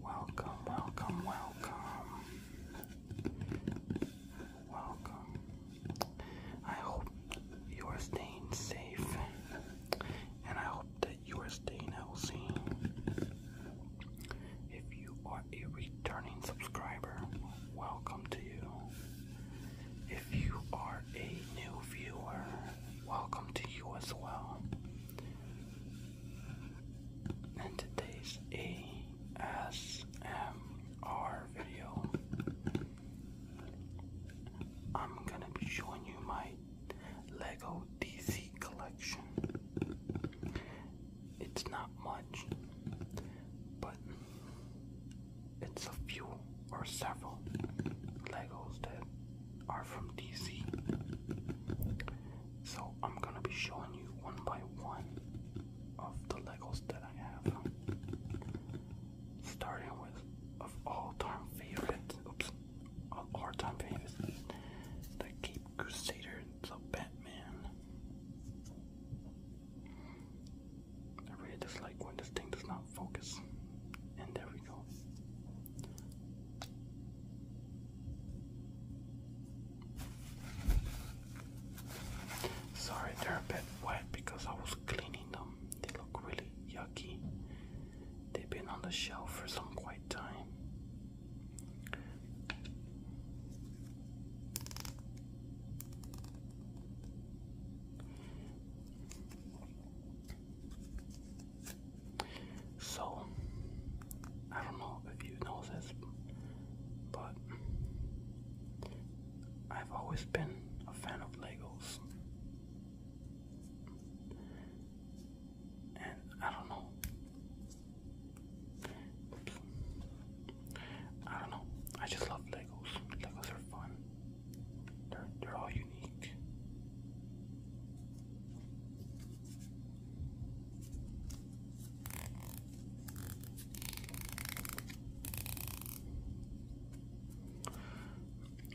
Welcome, welcome, welcome. Welcome. I hope you are staying safe and I hope that you are staying healthy. If you are a returning subscriber, welcome to you. If you are a new viewer, welcome to you as well. And today's ASMR video, I'm gonna be showing you my Lego DC collection. It's not much, but it's a few or several Legos that are from DC. So I'm gonna be showing you one by one of the Legos that I have. Starting with of all-time favorite, oops, of all-time favorite, the Cape Crusader, the Batman. I really dislike when this thing does not focus, and there Sorry, they're a bit wet because I was cleaning them. They look really yucky. They've been on the shelf for some quite time. So, I don't know if you know this, but I've always been a fan of Legos. And I don't know. I don't know. I just love Legos. Legos are fun. They're, they're all unique.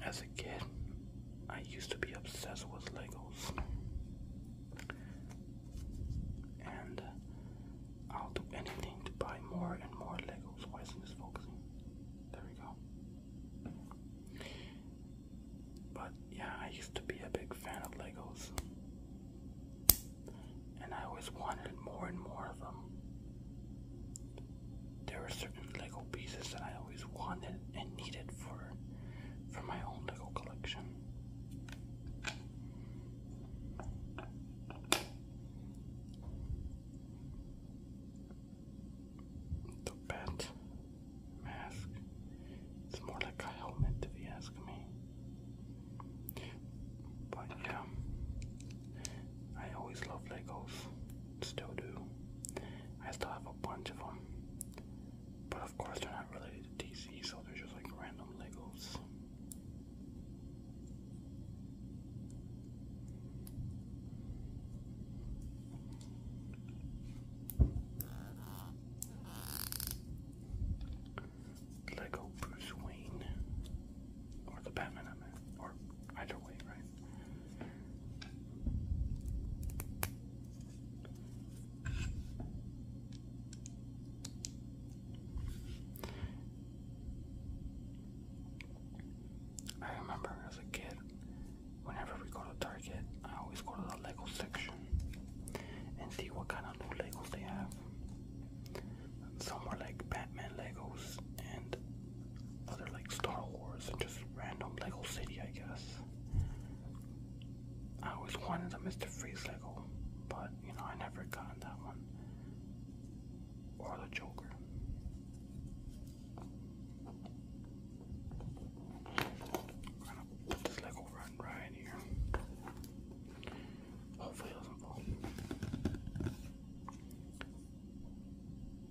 As a kid, I used to be obsessed with Legos. And I'll do anything to buy more and more Legos. Why isn't this focusing? There we go. But yeah, I used to be a big fan of Legos. And I always wanted more and more of them. There were certain Lego pieces that I always wanted and needed for for my own Lego collection. The bat mask. It's more like a helmet, if you ask me. But yeah, I always love Legos. Still do. I still have a bunch of them. But of course, they're not related to DC, so they're just like random Legos. Lego Bruce Wayne. Or the Batman, Or either way, right? I remember as a kid Whenever we go to Target, I always go to the Lego section and see what kind of new Legos they have. Some are like Batman Legos and other like Star Wars and just random Lego City, I guess. I always wanted a Mr. Freeze Lego, but you know, I never got that one. Or the Joker. I'm gonna put this Lego right here. Hopefully it doesn't fall.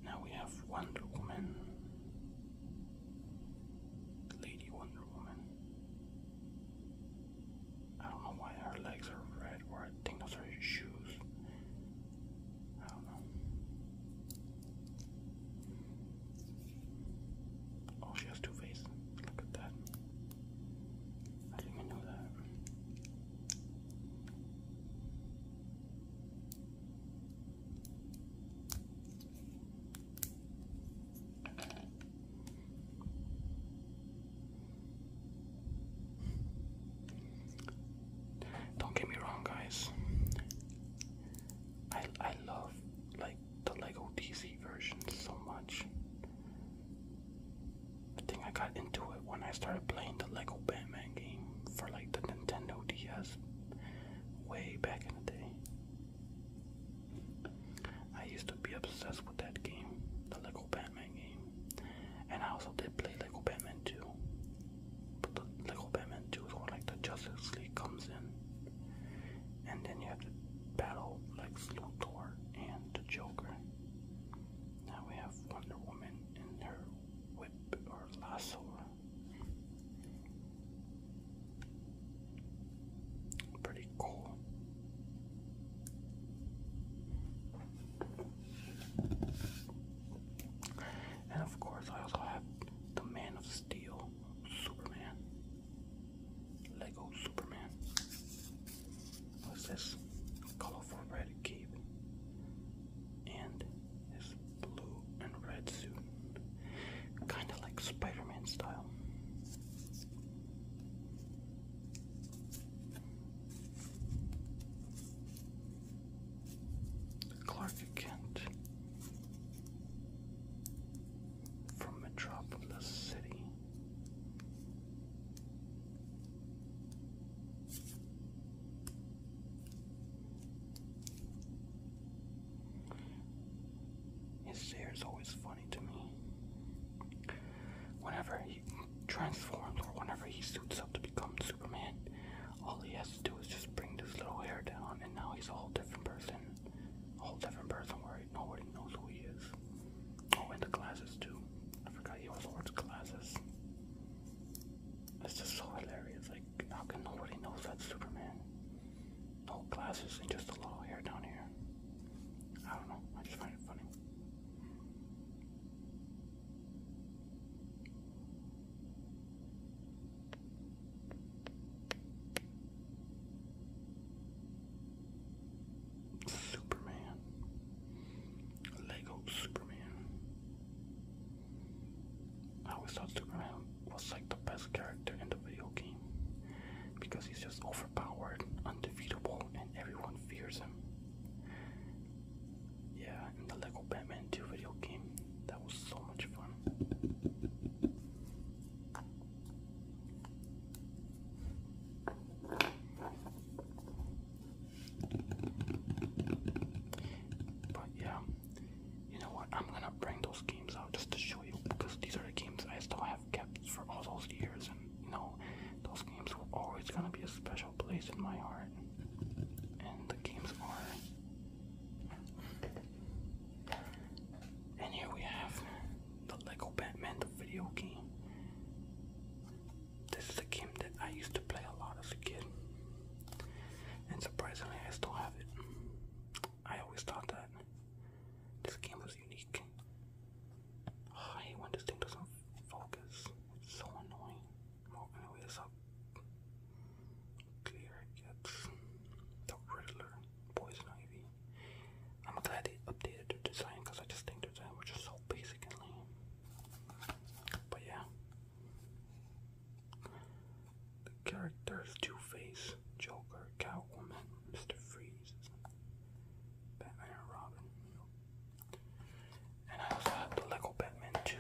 Now we have Wonder Woman. Lady Wonder Woman. I don't know why her legs are red, or I think those are shoes. I don't know. Oh, she has two faces. Look at that. I didn't even know that. Don't get me wrong, guys. I I love like the Lego DC version so much. I think I got into it when I started playing the Lego Batman game for like the Nintendo DS way back in the day. I used to be obsessed with that game, the Lego Batman game. And I also did play Lego Batman too. But the Lego Batman 2 is like the Justice League comes in, and then you have to battle Lex Luthor and the Joker. Now we have Wonder Woman and her whip or lasso. Pretty cool. And of course, I also have the Man of Steel Superman. Lego Superman. What's this? Colorful red cape. And his blue and red suit. Kinda like Spider-Man style. Clark Kent from Metropolis City. His stare is always funny to me. Whenever he transforms or whenever he suits up to become Superman, all he has to do is just bring this little hair down, and now he's a whole different person. A whole different person where nobody knows who he is. Oh, and the glasses, too. I forgot he was wears glasses. It's just so hilarious. Like, how can nobody knows that Superman? No glasses and just a little hair down here. I don't know. I just find it funny. Superman. Lego Superman. I always thought Superman was like the best character in the video game because he's just overpowered, undefeatable, and everyone fears him. Yeah, and the Lego Batman 2 video game, that was so much fun. But yeah, you know what? I'm gonna bring those games out just to show you because these are the games I still have kept for all those years, and you know, those games were always gonna be a special place in my heart. And the games are and here we have the Lego Batman, video game. This is a game that I used to play a lot as a kid. And surprisingly, I still have it. I always thought that this game was unique. Oh, I hate when this thing doesn't focus. It's so annoying. Well, anyway, this up. Clear gets the Riddler, Poison Ivy. I'm glad they updated the design because I just think their design was just so basic and lame. But yeah. The characters Two Face, Joker, Catwoman, Mr. Freeze, Batman, and Robin. And I also have the Lego Batman 2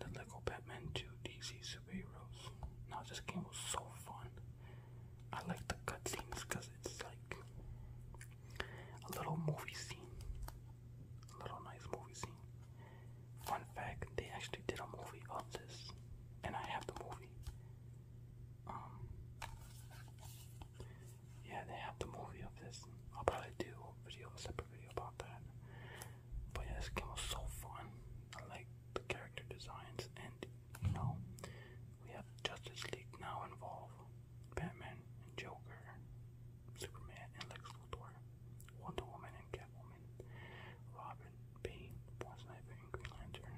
the Lego Batman 2 DC superheroes. Now this game was so fun. I like the cutscenes because it's like a little movie scene, a little nice movie scene. Fun fact: they actually did a movie of this, and I have the movie. Um, yeah, they have the movie of this. I'll probably do video, a separate video about that. But yeah, this game was so fun. I like the character designs, and you know, we have Justice League now involve Batman and Joker, Superman and Lex Luthor, Wonder Woman and Catwoman, Robin, Bane, Poison Ivy, and Green Lantern.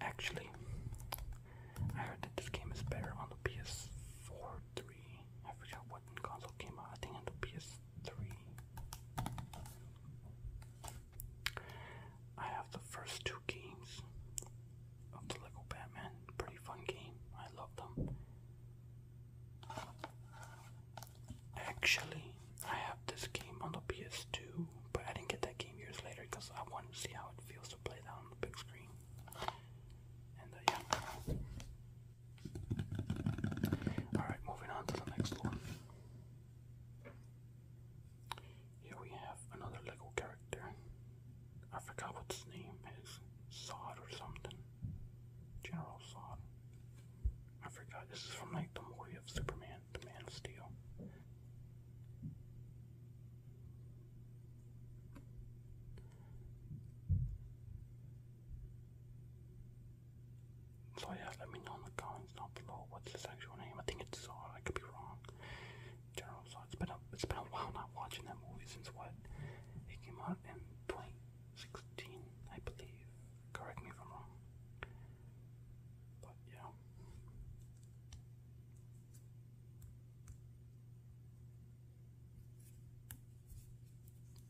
Actually, I heard that this game is better on the PS4 3 I forgot what console came out. I think on the PS3. I have the first two games of the Lego Batman. Pretty fun game. I love them. Actually, I have this game on the PS2, but I didn't get that game years later because I wanted to see how it feels to play that on the big screen. And yeah. Alright, moving on to the next one. Here we have another Lego character. I forgot what his name is. Sod or something. General Sod. I forgot. This is from like the movie of Superman, the Man of Steel. So yeah, let me know in the comments below what's his actual name. I think it's Zod. could be wrong. General Zod. It's been a it's been a while not watching that movie since what? It came out in 2016, I believe. Correct me if I'm wrong. But yeah.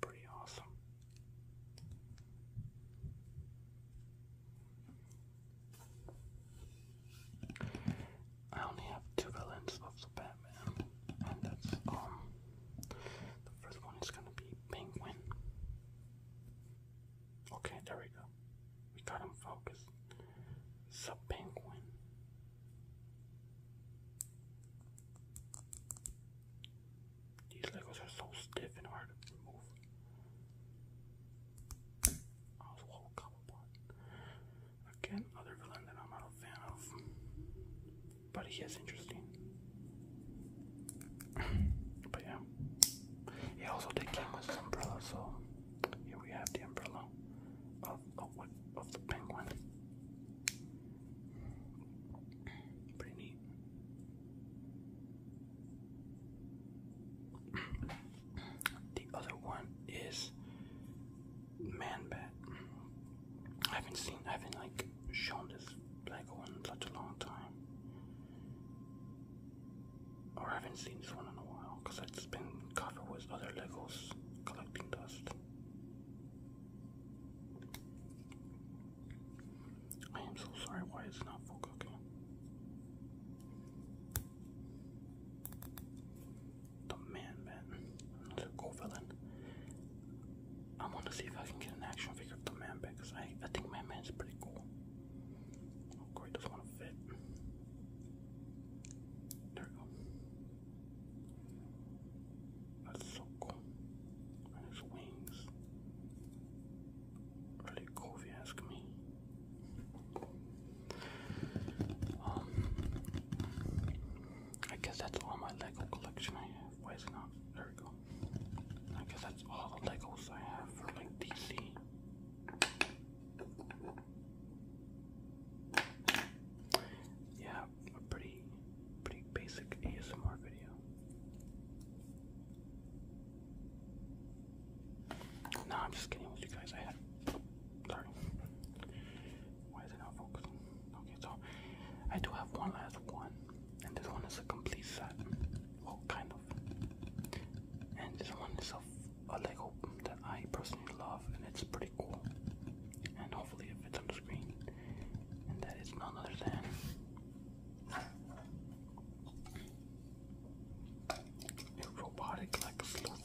Pretty awesome. I only have two villains of the Batman, and that's um the first one is gonna be Penguin. Okay, there we go. We got him focused. Sub Penguin. These Legos are so stiff and hard to remove. I was come apart. Again, another villain that I'm not a fan of. But he is interesting. but yeah. He also did came with his umbrella, so here we have the umbrella of, of the penguin. Pretty neat. The other one is Man I haven't seen, I haven't like shown this black one in such a long time. Or I haven't seen this one in a while because I've just been covered with other Legos collecting dust. I am so sorry why it's not full cooking. The man, man. Another cool villain. I want to see if I can get an action figure of the man back because I, I think my man's pretty cool. Oh, great, doesn't want to fit. There we go. A circle and his wings. Really cool if you ask me. Um, I guess that's all my Lego collection I have. Why is not? There we go. I guess that's all the Legos I have for like DC. Yeah, a pretty, pretty basic ASMR video. No, I'm just kidding with you guys. I had, sorry. Why is it not focusing? Okay, so I do have one last one, and this one is a complete set. Well, kind of. And this one is a, a Lego that I personally love, and it's pretty cool. And hopefully, it's on the screen. And that is none other than a robotic like a floor I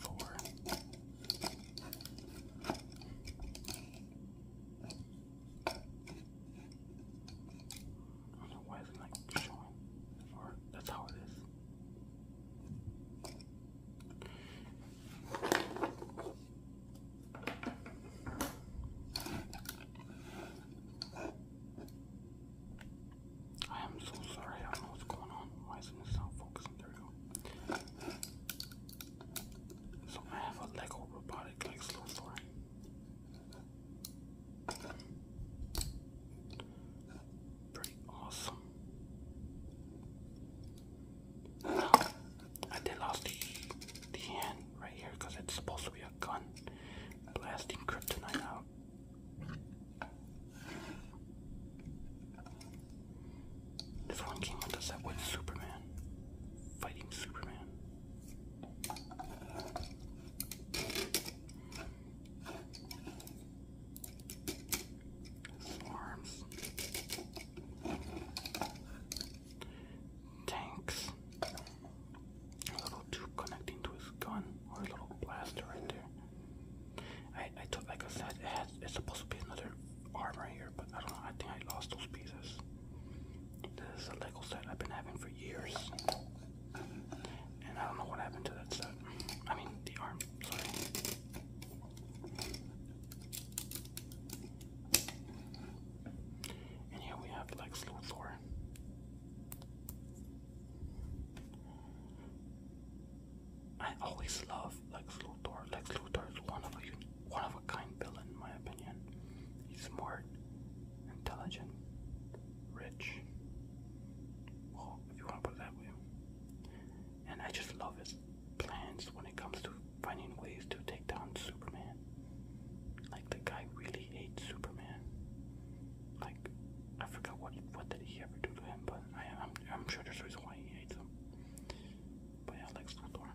don't know why it's like showing. Or that's how it is. I am so sorry, I don't know what's going on. Why isn't this not focusing? There we go. So I have a Lego robotic like slow story. Pretty awesome. I did lost the the hand right here because it's supposed to be a gun. Blasting kryptonite out. This one came with the set with Superman. Fighting Superman. arms tanks. A little tube connecting to his gun, or a little blaster right there. I, I took, like I said, it has, it's supposed to be another arm right here, but I don't know, I think I lost those pieces. This is a Lego set I've been having for years. And I don't know what happened to that set. I mean, the arm, sorry. And here we have Lex Luthor. I always love Lex Luthor. Lex Luthor is one of a one of a kind villain, in my opinion. He's smart, intelligent, rich. Well, if you want to put that way. And I just love it plans when it comes to finding ways to take down Superman. Like the guy really hates Superman. Like I forgot what what did he ever do to him, but I I'm I'm sure there's a reason why he hates him. But yeah, Lex Luthor.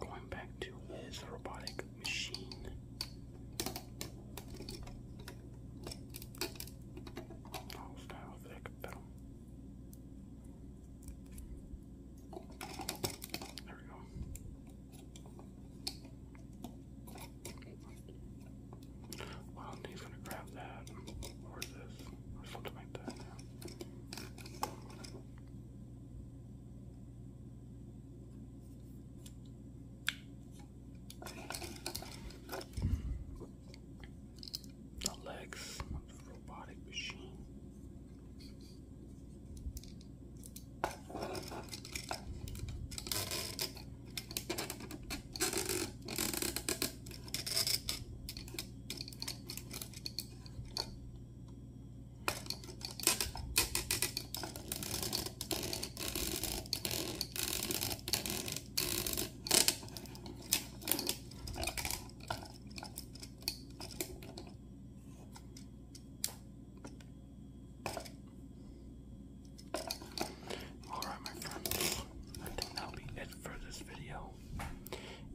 Going back to his robotic machine. Oh, style like film. There we go. Well, he's gonna grab that or this or something like that the legs of the robotic machine. Alright, my friends, I think that'll be it for this video.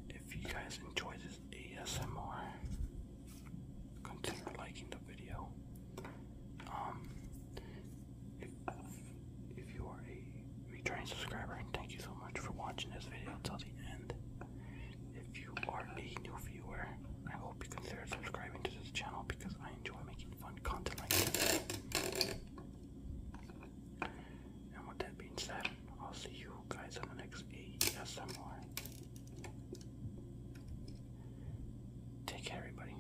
If you guys enjoyed this ASMR, consider liking the video. Um, if, you are a returning subscriber, thank you so much for watching this video till the end. If you are a new viewer, I hope you consider subscribing to this channel because I enjoy making fun content like this. And with that being said, I'll see you guys on the next ASMR. Take care, everybody.